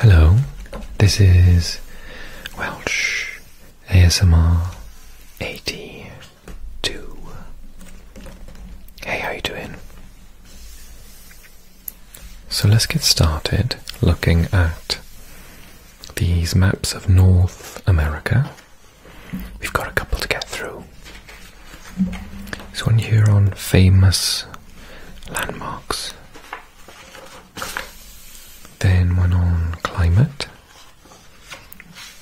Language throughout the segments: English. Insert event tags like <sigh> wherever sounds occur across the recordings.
Hello, this is Welsh ASMR 80 two. Hey, how you doing? So let's get started looking at these maps of North America. We've got a couple to get through. This one here on famous landmarks. Then one on climate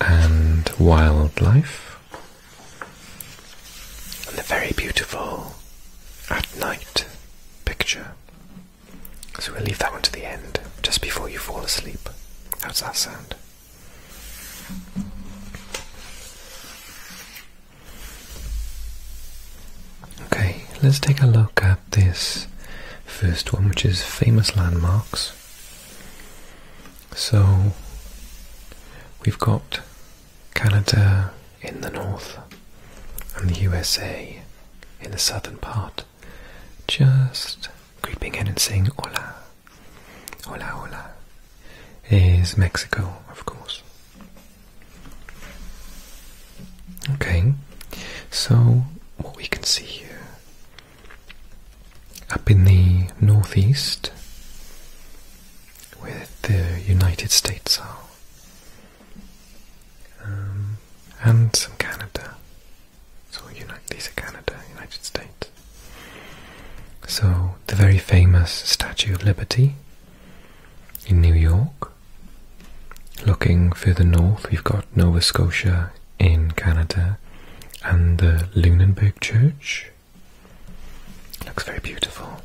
and wildlife, and the very beautiful at night picture. So we'll leave that one to the end, just before you fall asleep. How does that sound? Okay, let's take a look at this first one, which is famous landmarks. So we've got Canada in the north and the USA in the southern part, just creeping in and saying hola, hola, hola, is Mexico, of course. Okay, so what we can see here up in the northeast, where the United States are, um, and some Canada. So you know, these are Canada, United States. So the very famous Statue of Liberty in New York. Looking further north, we've got Nova Scotia in Canada, and the Lunenburg Church. Looks very beautiful.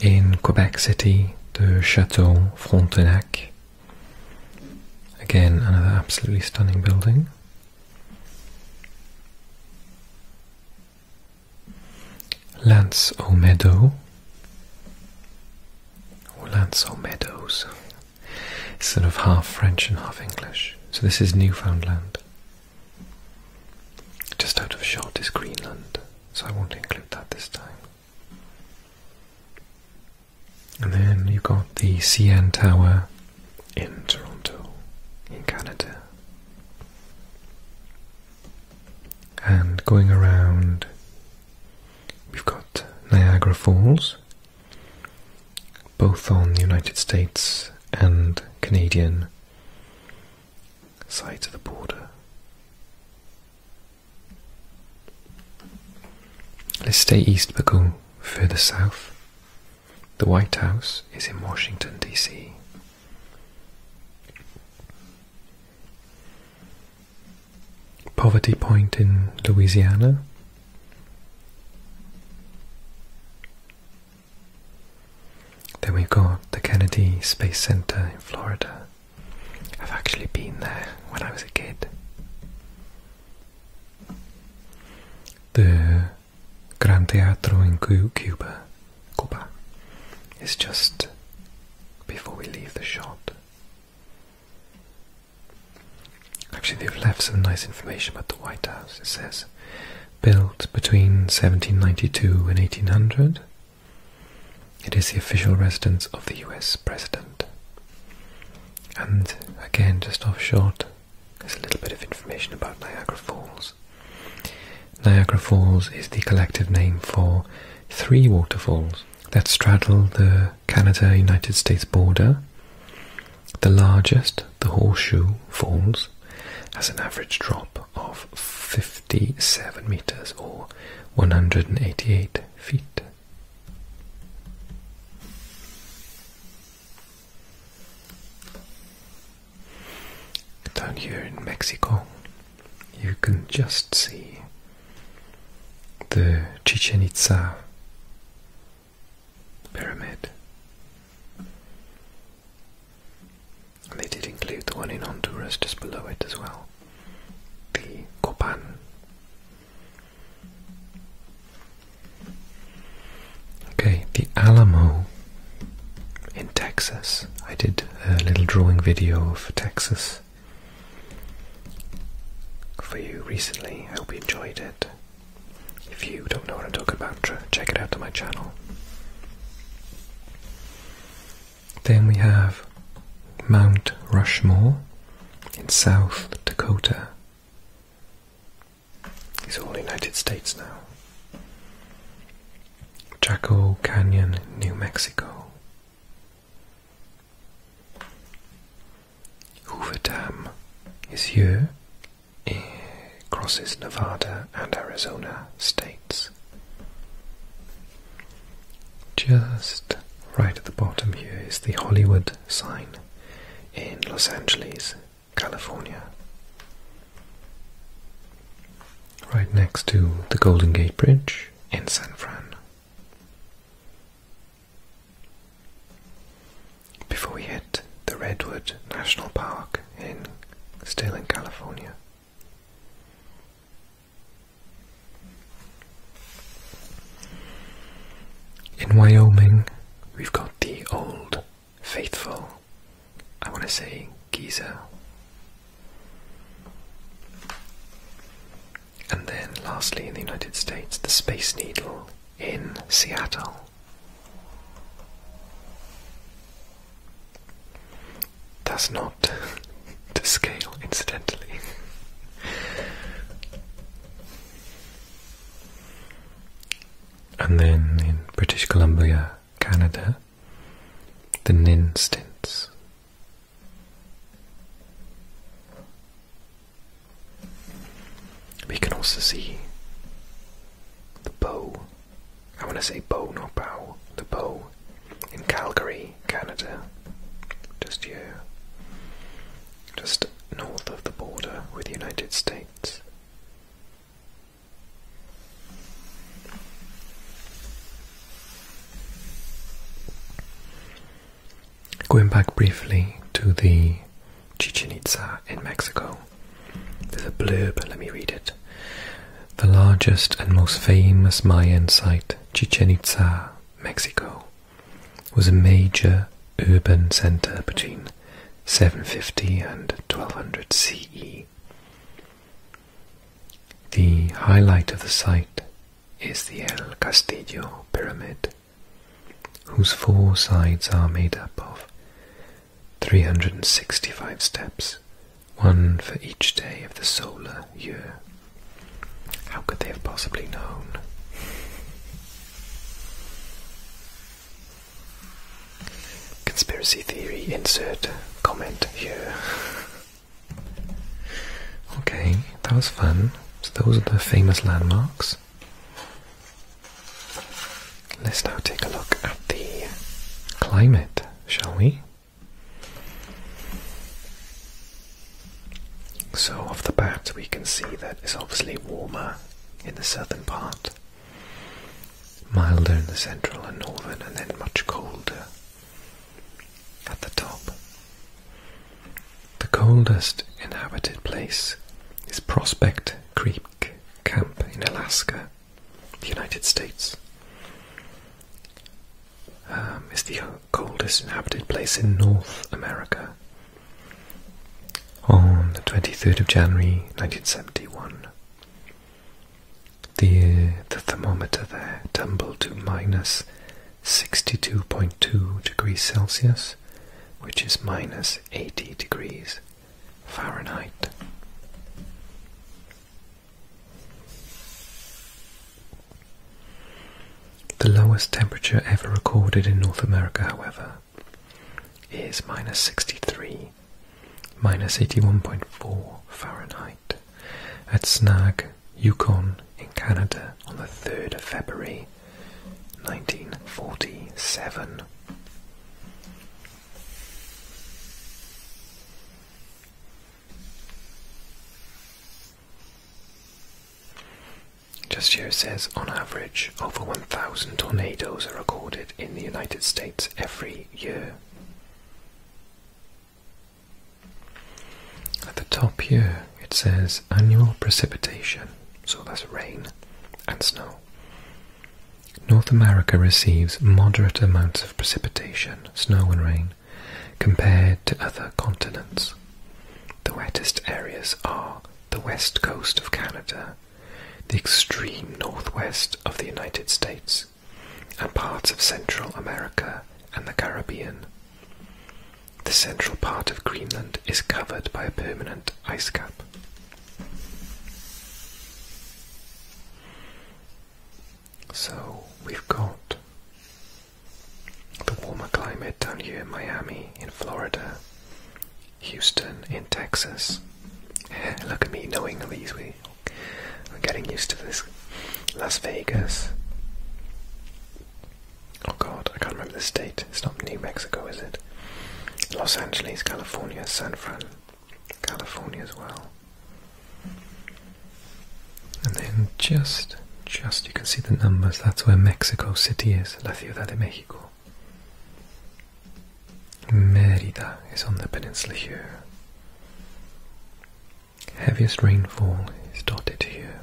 In Quebec City, the Chateau Frontenac. Again, another absolutely stunning building. Lance meadow, or Lance meadows. It's sort of half French and half English. So this is Newfoundland. Just out of shot is Greenland, so I won't include that this time. And then you've got the CN Tower in Toronto, in Canada. And going around, we've got Niagara Falls both on the United States and Canadian sides of the border. Let's stay east but go further south. The White House is in Washington, D.C. Poverty Point in Louisiana. Then we've got the Kennedy Space Center in Florida. I've actually been there when I was a kid. The Gran Teatro in Cuba, Cuba is just before we leave the shot. Actually, they've left some nice information about the White House. It says built between 1792 and 1800. It is the official residence of the US President. And again, just off shot, there's a little bit of information about Niagara Falls. Niagara Falls is the collective name for three waterfalls that straddle the Canada United States border, the largest, the Horseshoe Falls, has an average drop of 57 meters or 188 feet. Down here in Mexico, you can just see the Chichen Itza pyramid. And they did include the one in Honduras just below it as well, the Copan. Okay, the Alamo in Texas. I did a little drawing video of Texas for you recently. I hope you enjoyed it. If you don't know what I'm talking about, check it out on my channel. Then we have Mount Rushmore in South Dakota. It's all United States now. Jackal Canyon, New Mexico. Hoover Dam is here. It crosses Nevada and Arizona states. Just right at the bottom here is the Hollywood sign in Los Angeles, California. Right next to the Golden Gate Bridge in San Fran. Before we hit the Redwood National Park in still in California. In Wyoming, we've got the old, faithful, I want to say Giza. And then, lastly, in the United States, the Space Needle in Seattle. does not <laughs> to scale, incidentally. <laughs> and then in British Columbia, Canada, the Nin we can also see the bow. I want to say bow, not bow. The bow in Calgary, Canada. Just here. Just north of the border with the United States. Going back briefly to the Chichen Itza in Mexico, there's a blurb, let me read it. The largest and most famous Mayan site, Chichen Itza, Mexico, was a major urban center between 750 and 1200 CE. The highlight of the site is the El Castillo Pyramid, whose four sides are made up of 365 steps, one for each day of the solar year. How could they have possibly known? Conspiracy theory insert comment here. Okay that was fun. So those are the famous landmarks. Let's now take a look at the climate, shall we? So off the bat we can see that it's obviously warmer in the southern part, milder in the central and northern, and then much colder at the top. The coldest inhabited place is Prospect Creek Camp in Alaska, the United States. Um, it's the coldest inhabited place in North America. On the 23rd of January 1971, the, the thermometer there tumbled to minus 62.2 degrees Celsius, which is minus 80 degrees Fahrenheit. The lowest temperature ever recorded in North America, however, is minus 63, minus 81.4 Fahrenheit, at Snag, Yukon, in Canada on the 3rd of February 1947. Just here says on average, over 1,000 tornadoes are recorded in the United States every year. At the top here, it says annual precipitation so that's rain and snow. North America receives moderate amounts of precipitation, snow and rain, compared to other continents. The wettest areas are the west coast of Canada, the extreme northwest of the United States, and parts of Central America and the Caribbean. The central part of Greenland is covered by a permanent ice cap. So we've got the warmer climate down here in Miami, in Florida, Houston, in Texas. Look at me knowing these. We, are getting used to this. Las Vegas. Oh god, I can't remember the state. It's not New Mexico, is it? Los Angeles, California, San Fran, California as well. And then just, just you can see the numbers. That's where Mexico City is, La Ciudad de Mexico. Merida is on the peninsula here. Heaviest rainfall is dotted here.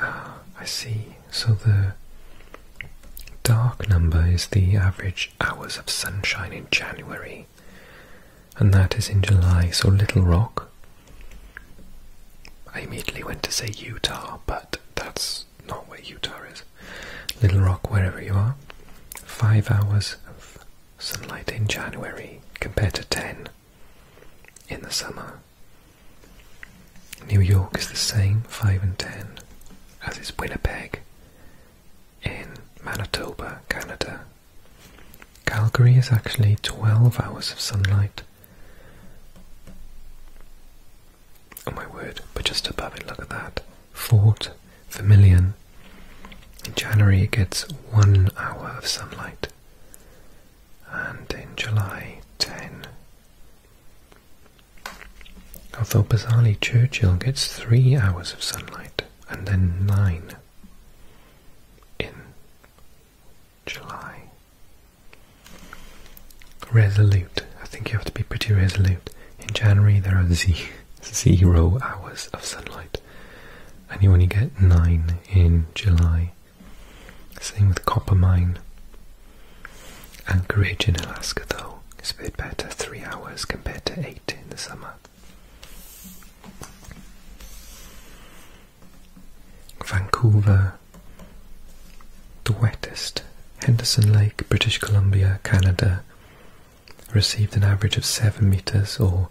Ah, I see. So the dark number is the average hours of sunshine in January, and that is in July. So Little Rock. I immediately went to say Utah, but that's not where Utah is. Little Rock, wherever you are, five hours of sunlight in January compared to 10 in the summer. New York is the same, 5 and 10, as is Winnipeg in Manitoba, Canada. Calgary is actually 12 hours of sunlight. Oh my word, but just above it, look at that. Fort per In January, it gets one hour of sunlight, and in July, ten. Although bizarrely, Churchill gets three hours of sunlight and then nine in July. Resolute. I think you have to be pretty resolute. In January, there are <laughs> zero hours of sunlight and you only get nine in July. Same with Coppermine. Anchorage in Alaska, though, is a bit better, three hours compared to eight in the summer. Vancouver, the wettest. Henderson Lake, British Columbia, Canada, received an average of 7 meters or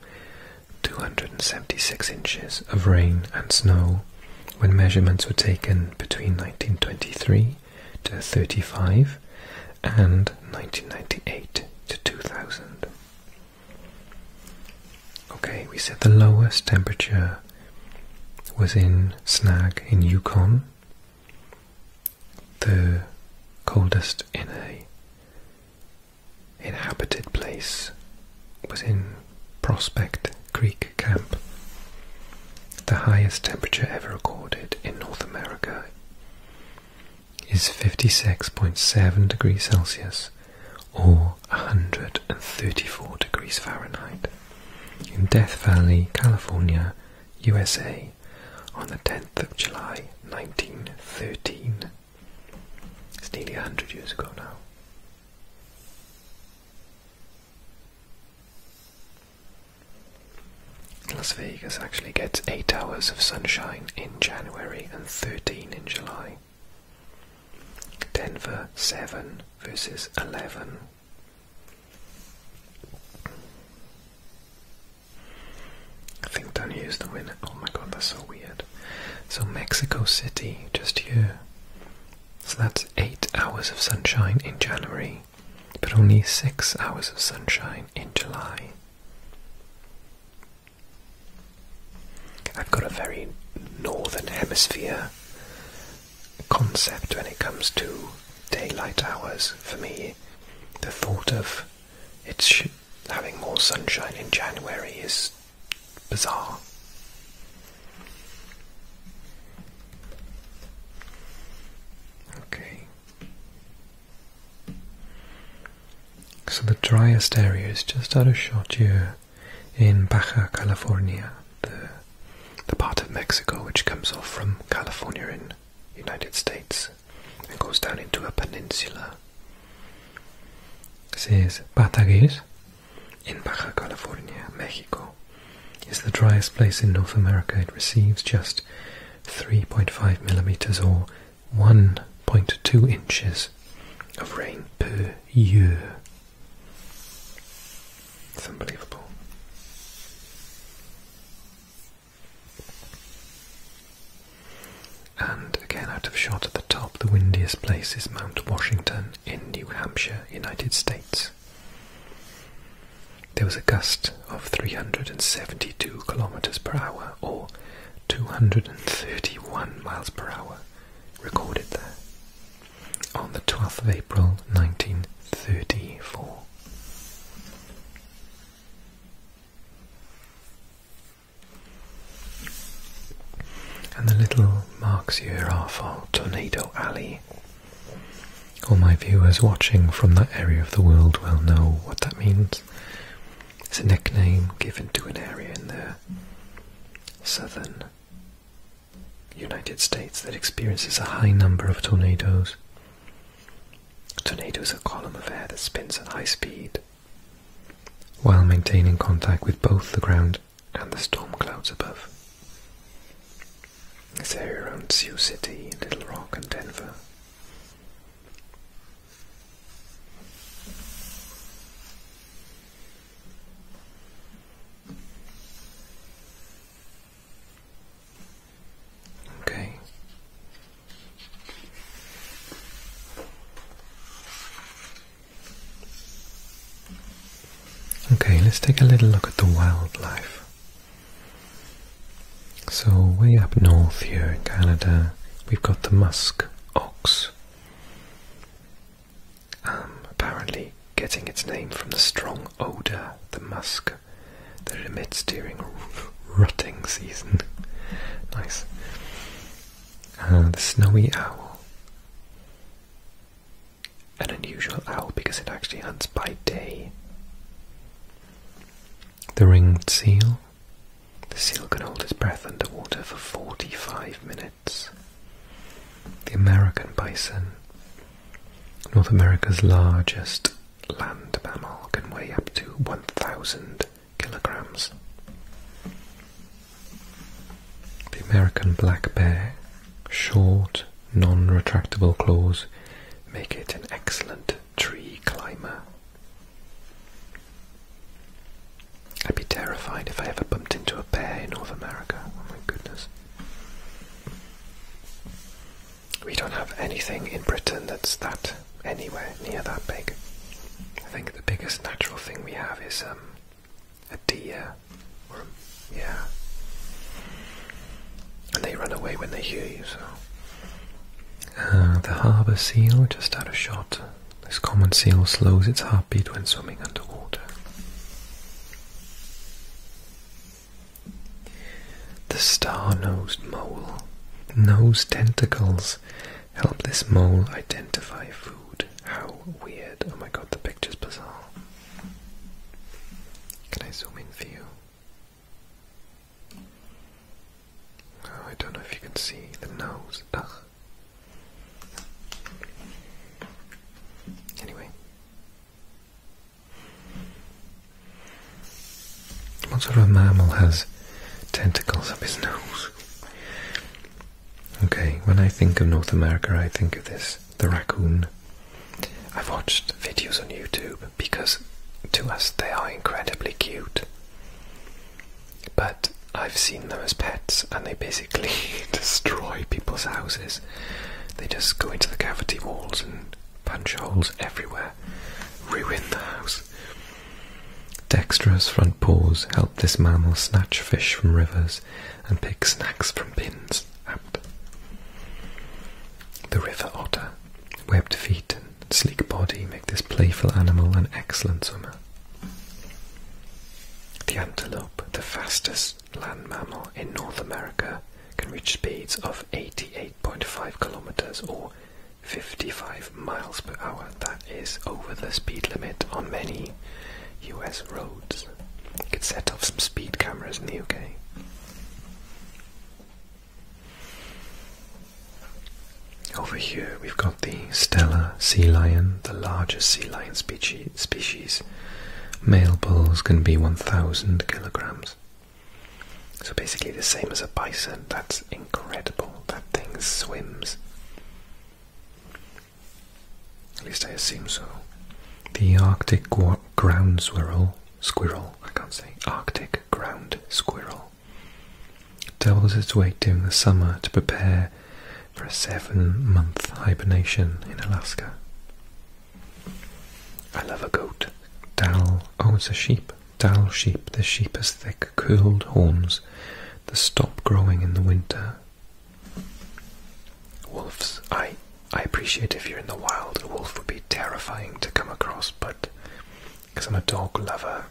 276 inches of rain and snow when measurements were taken between 1923 to 35 and 1998 to 2000. Okay, we said the lowest temperature was in Snag in Yukon, the coldest in a inhabited place was in Prospect Creek Camp, the highest temperature ever recorded in North America is 56.7 degrees Celsius or 134 degrees Fahrenheit in Death Valley, California, USA on the 10th of July 1913. It's nearly a hundred years ago now. Las Vegas actually gets 8 hours of sunshine in January and 13 in July. Denver 7 versus 11. I think Danny is the winner. Oh my god, that's so weird. So Mexico City, just here. So that's eight hours of sunshine in January, but only six hours of sunshine in July. I've got a very northern hemisphere concept when it comes to daylight hours. For me, the thought of it's having more sunshine in January is bizarre. Okay. So the driest area is just out of shot here in Baja California, the the part of Mexico which comes off from California in United States. It goes down into a peninsula. Says Batagues in Baja California, Mexico, is the driest place in North America. It receives just 3.5 millimeters or 1.2 inches of rain per year. It's unbelievable. And again, out of shot at the top, the windiest place is Mount Washington in New Hampshire, United States. There was a gust of 372 kilometers per hour, or 231 miles per hour, recorded there on the 12th of April 1934. And the little marks here are for Tornado Alley. All my viewers watching from that area of the world will know what that means. It's a nickname given to an area in the southern United States that experiences a high number of tornadoes. Tornadoes are a column of air that spins at high speed while maintaining contact with both the ground and the storm clouds above. This area around Sioux City, Little Rock, and Denver. Okay, Okay, let's take a little look at the wildlife. So, way up north here in Canada, we've got the musk ox. Um, apparently, getting its name from the strong odour, the musk, that it emits during rutting season. <laughs> nice. Uh, the snowy owl. An unusual owl because it actually hunts by day. The ringed seal. The seal can hold its breath underwater for 45 minutes. The American bison. North America's largest land mammal can weigh up to 1,000 kilograms. The American black bear, short, non-retractable claws make it an excellent tree climber. I'd be terrified if I ever bumped into a bear in North America. Oh my goodness. We don't have anything in Britain that's that anywhere near that big. I think the biggest natural thing we have is um, a deer, yeah, and they run away when they hear you. So uh, the harbour seal, just had a shot. This common seal slows its heartbeat when swimming underwater. The star-nosed mole. Nose tentacles Help this mole identify food. How weird. Oh my god, the picture's bizarre. Can I zoom in for you? Oh, I don't know if you can see the nose. Ugh. Anyway. What sort of mammal has tentacles up his nose? Okay, when I think of North America, I think of this the raccoon. I've watched videos on YouTube because to us they are incredibly cute. But I've seen them as pets and they basically <laughs> destroy people's houses. They just go into the cavity walls and punch holes everywhere, ruin the house. Dexterous front paws help this mammal snatch fish from rivers and pick snacks from pins The river otter, webbed feet and sleek body make this playful animal an excellent swimmer. The antelope, the fastest land mammal in North America, can reach speeds of 88.5 kilometers or 55 miles per hour. That is over the speed limit on many US roads. You could set off some speed cameras in the UK. Over here we've got the Stellar sea lion, the largest sea lion species. Male bulls can be 1,000 kilograms. So basically the same as a bison. That's incredible that thing swims. At least I assume so. The Arctic ground squirrel, squirrel, I can't say, Arctic ground squirrel, doubles its weight during the summer to prepare for a seven month hibernation in Alaska. I love a goat. Dal, oh, it's a sheep. Dal sheep, the sheep has thick, curled horns that stop growing in the winter. Wolves, I, I appreciate if you're in the wild, a wolf would be terrifying to come across, but because I'm a dog lover,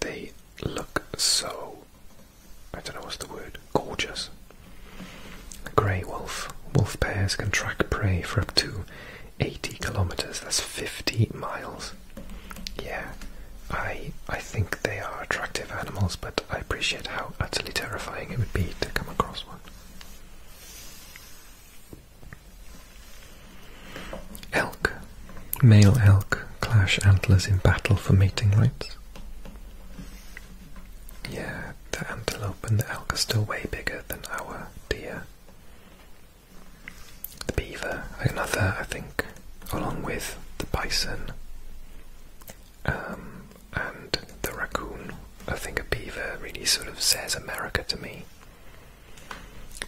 they look so, I don't know what's the word, gorgeous. grey wolf. Wolf pairs can track prey for up to 80 kilometres, that's 50 miles. Yeah, I I think they are attractive animals, but I appreciate how utterly terrifying it would be to come across one. Elk. Male elk clash antlers in battle for mating rights. Yeah, the antelope and the elk are still way bigger than our deer the beaver, another, I think, along with the bison um, and the raccoon. I think a beaver really sort of says America to me.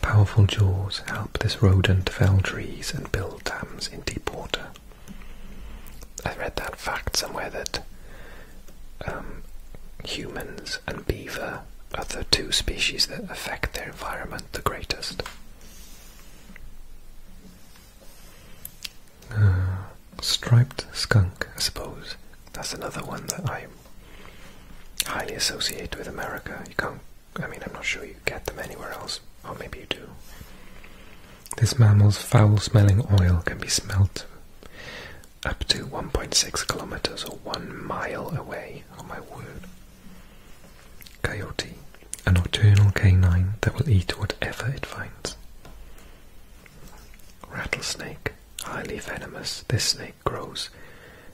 Powerful jaws help this rodent fell trees and build dams in deep water. I read that fact somewhere that um, humans and beaver are the two species that affect their environment the greatest. Uh, striped skunk, I suppose. That's another one that I highly associate with America. You can't, I mean, I'm not sure you get them anywhere else, or maybe you do. This mammal's foul smelling oil can be smelt up to 1.6 kilometers or one mile away. Oh my word. Coyote, a nocturnal canine that will eat whatever it finds. Rattlesnake, highly venomous, this snake grows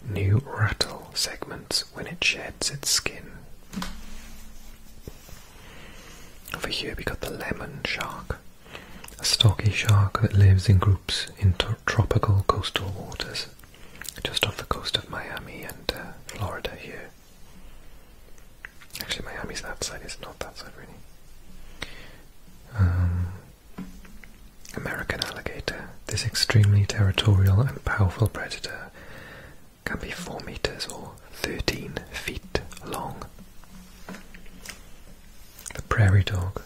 new rattle segments when it sheds its skin. Over here we got the lemon shark, a stocky shark that lives in groups in tropical coastal waters just off the coast of Miami and uh, Florida here. Actually, Miami's that side, is not that side really. Um, American alligator. This extremely territorial and powerful predator can be 4 meters or 13 feet long. The prairie dog.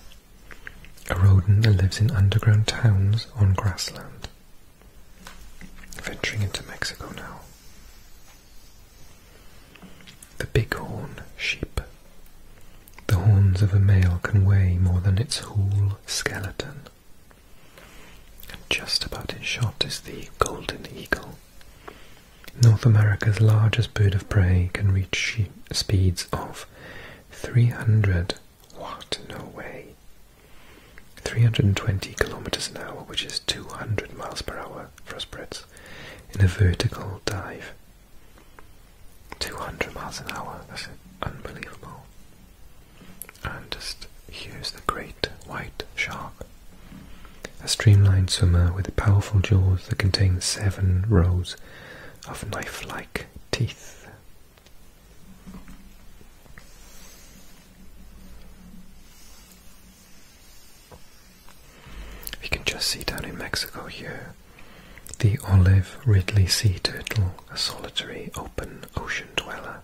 A rodent that lives in underground towns on grassland. Venturing into Mexico now. The bighorn sheep. The horns of a male can weigh more than its whole skeleton. And just about in shot is the golden eagle. North America's largest bird of prey can reach speeds of 300 what? No way. 320 kilometers an hour, which is 200 miles per hour for us Brits, in a vertical dive. 200 miles an hour, that's unbelievable. And just here's the great white shark. A streamlined swimmer with powerful jaws that contain seven rows of knife like teeth. We can just see down in Mexico here the olive Ridley sea turtle, a solitary open ocean dweller.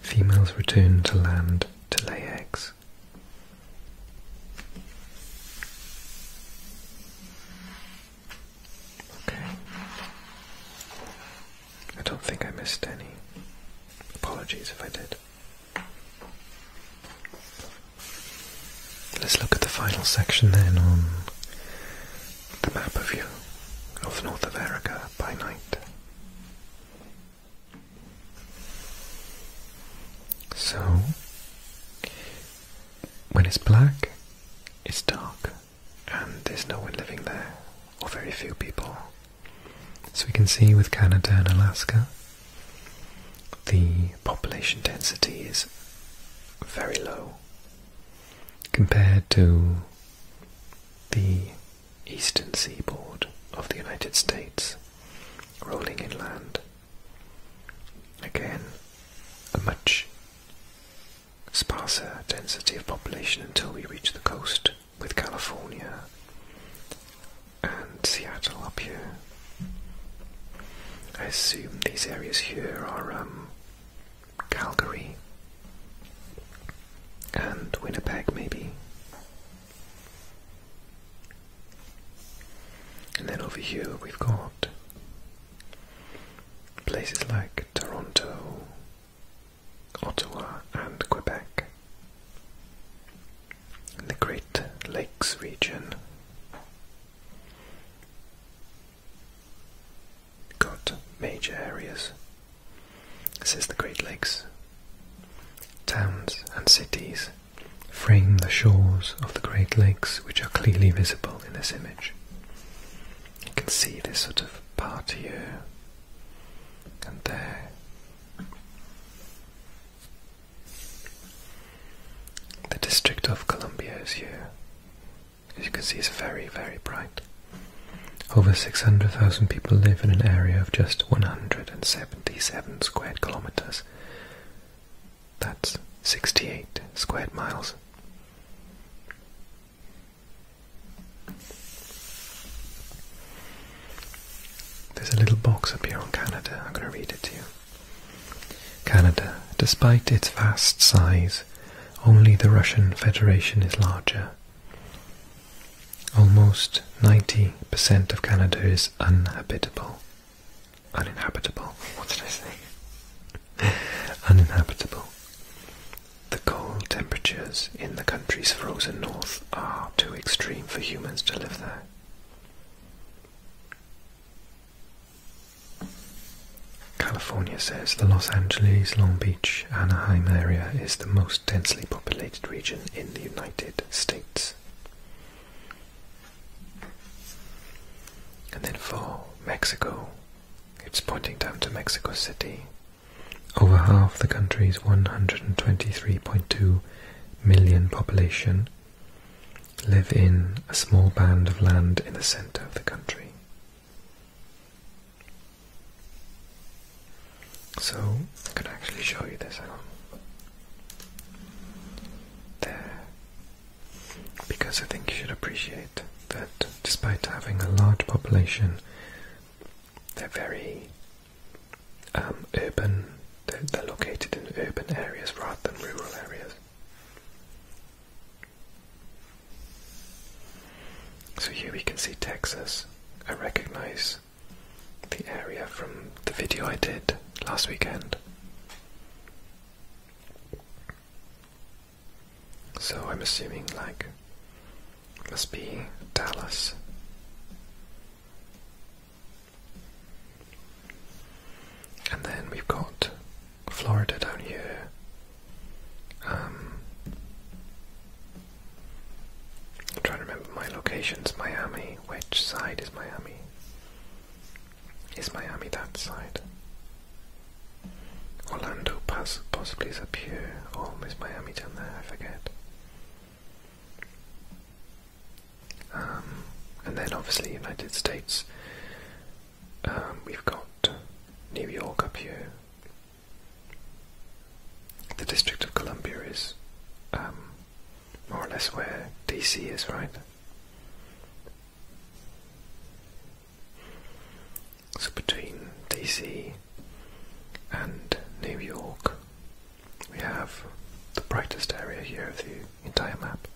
Females return to land to lay eggs. I don't think I missed any. Apologies if I did. Let's look at the final section then on the map of you of North America by night. So, when it's black, it's dark and there's no one living there, or very few people. So we can see with Canada and Alaska, the population density is very low compared to the eastern seaboard of the United States, rolling inland. Again, a much sparser density of population until we reach the coast with California and Seattle up here. I assume these areas here are um, Calgary and Winnipeg, maybe. And then over here we've got places like Toronto, Ottawa, and Quebec. In the Great Lakes region, got major areas. This is the Great Lakes. Towns and cities frame the shores of the Great Lakes, which are clearly visible in this image. You can see this sort of part here Cantar. The District of Columbia is here. As you can see, it's very, very bright. Over 600,000 people live in an area of just 177 square kilometers. That's 68 square miles. There's a little box up here on Canada. I'm going to read it to you. Canada, despite its vast size, only the Russian Federation is larger. Almost 90% of Canada is uninhabitable. Uninhabitable? What did I say? <laughs> uninhabitable. The cold temperatures in the country's frozen north are too extreme for humans to live there. California says the Los Angeles, Long Beach, Anaheim area is the most densely populated region in the United States. And then for Mexico, it's pointing down to Mexico City, over half the country's 123.2 million population live in a small band of land in the center of the country. So, I can actually show you this. There. Because I think you should appreciate that despite having a large population they're very um, urban. they're located in urban areas rather than rural areas. So here we can see Texas. I recognize the area from the video I did last weekend. So I'm assuming like must be Dallas. And then we've got Florida down here. Um, I'm trying to remember my locations. Miami. Which side is Miami? Is Miami that side? Orlando pass possibly is up here, or oh, is Miami down there? I forget. Um, and then obviously United States. Um, we've got New York up here. The District of Columbia is um, more or less where DC is, right? so between DC and New York, we have the brightest area here of the entire map.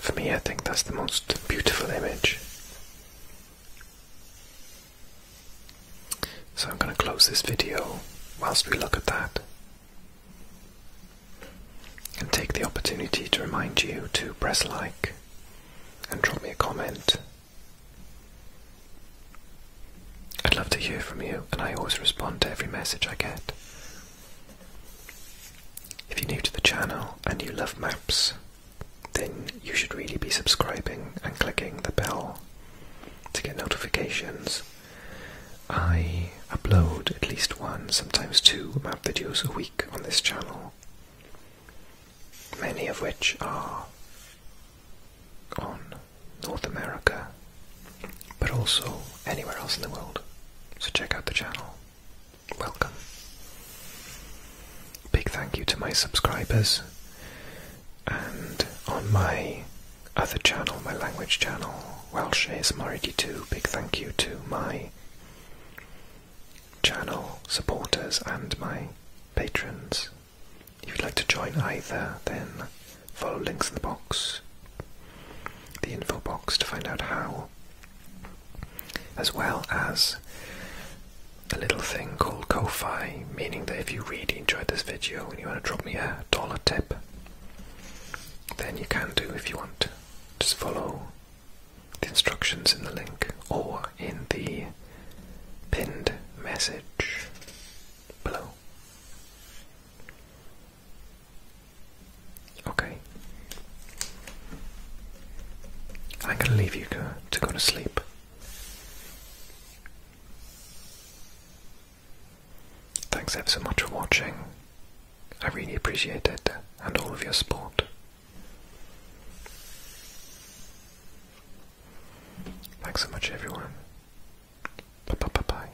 For me, I think that's the most beautiful image. So I'm going to close this video whilst we look at that and take the opportunity to remind you to press like and drop me a comment. I'd love to hear from you, and I always respond to every message I get. If you're new to the channel and you love maps, then you should really be subscribing and clicking the bell to get notifications I upload at least one, sometimes two map videos a week on this channel, many of which are on North America, but also anywhere else in the world. So check out the channel. Welcome. Big thank you to my subscribers and on my other channel, my language channel, well shares Marigi too. Big thank you to my channel supporters and my patrons. If you'd like to join either, then follow links in the box, the info box to find out how, as well as a little thing called Ko-Fi, meaning that if you really enjoyed this video and you want to drop me a dollar tip, then you can do if you want just follow the instructions in the link or in the pinned message below. Okay. I'm going to leave you to go to sleep. Thanks ever so much for watching. I really appreciate it and all of your support. Thanks so much, everyone. Bye bye bye bye.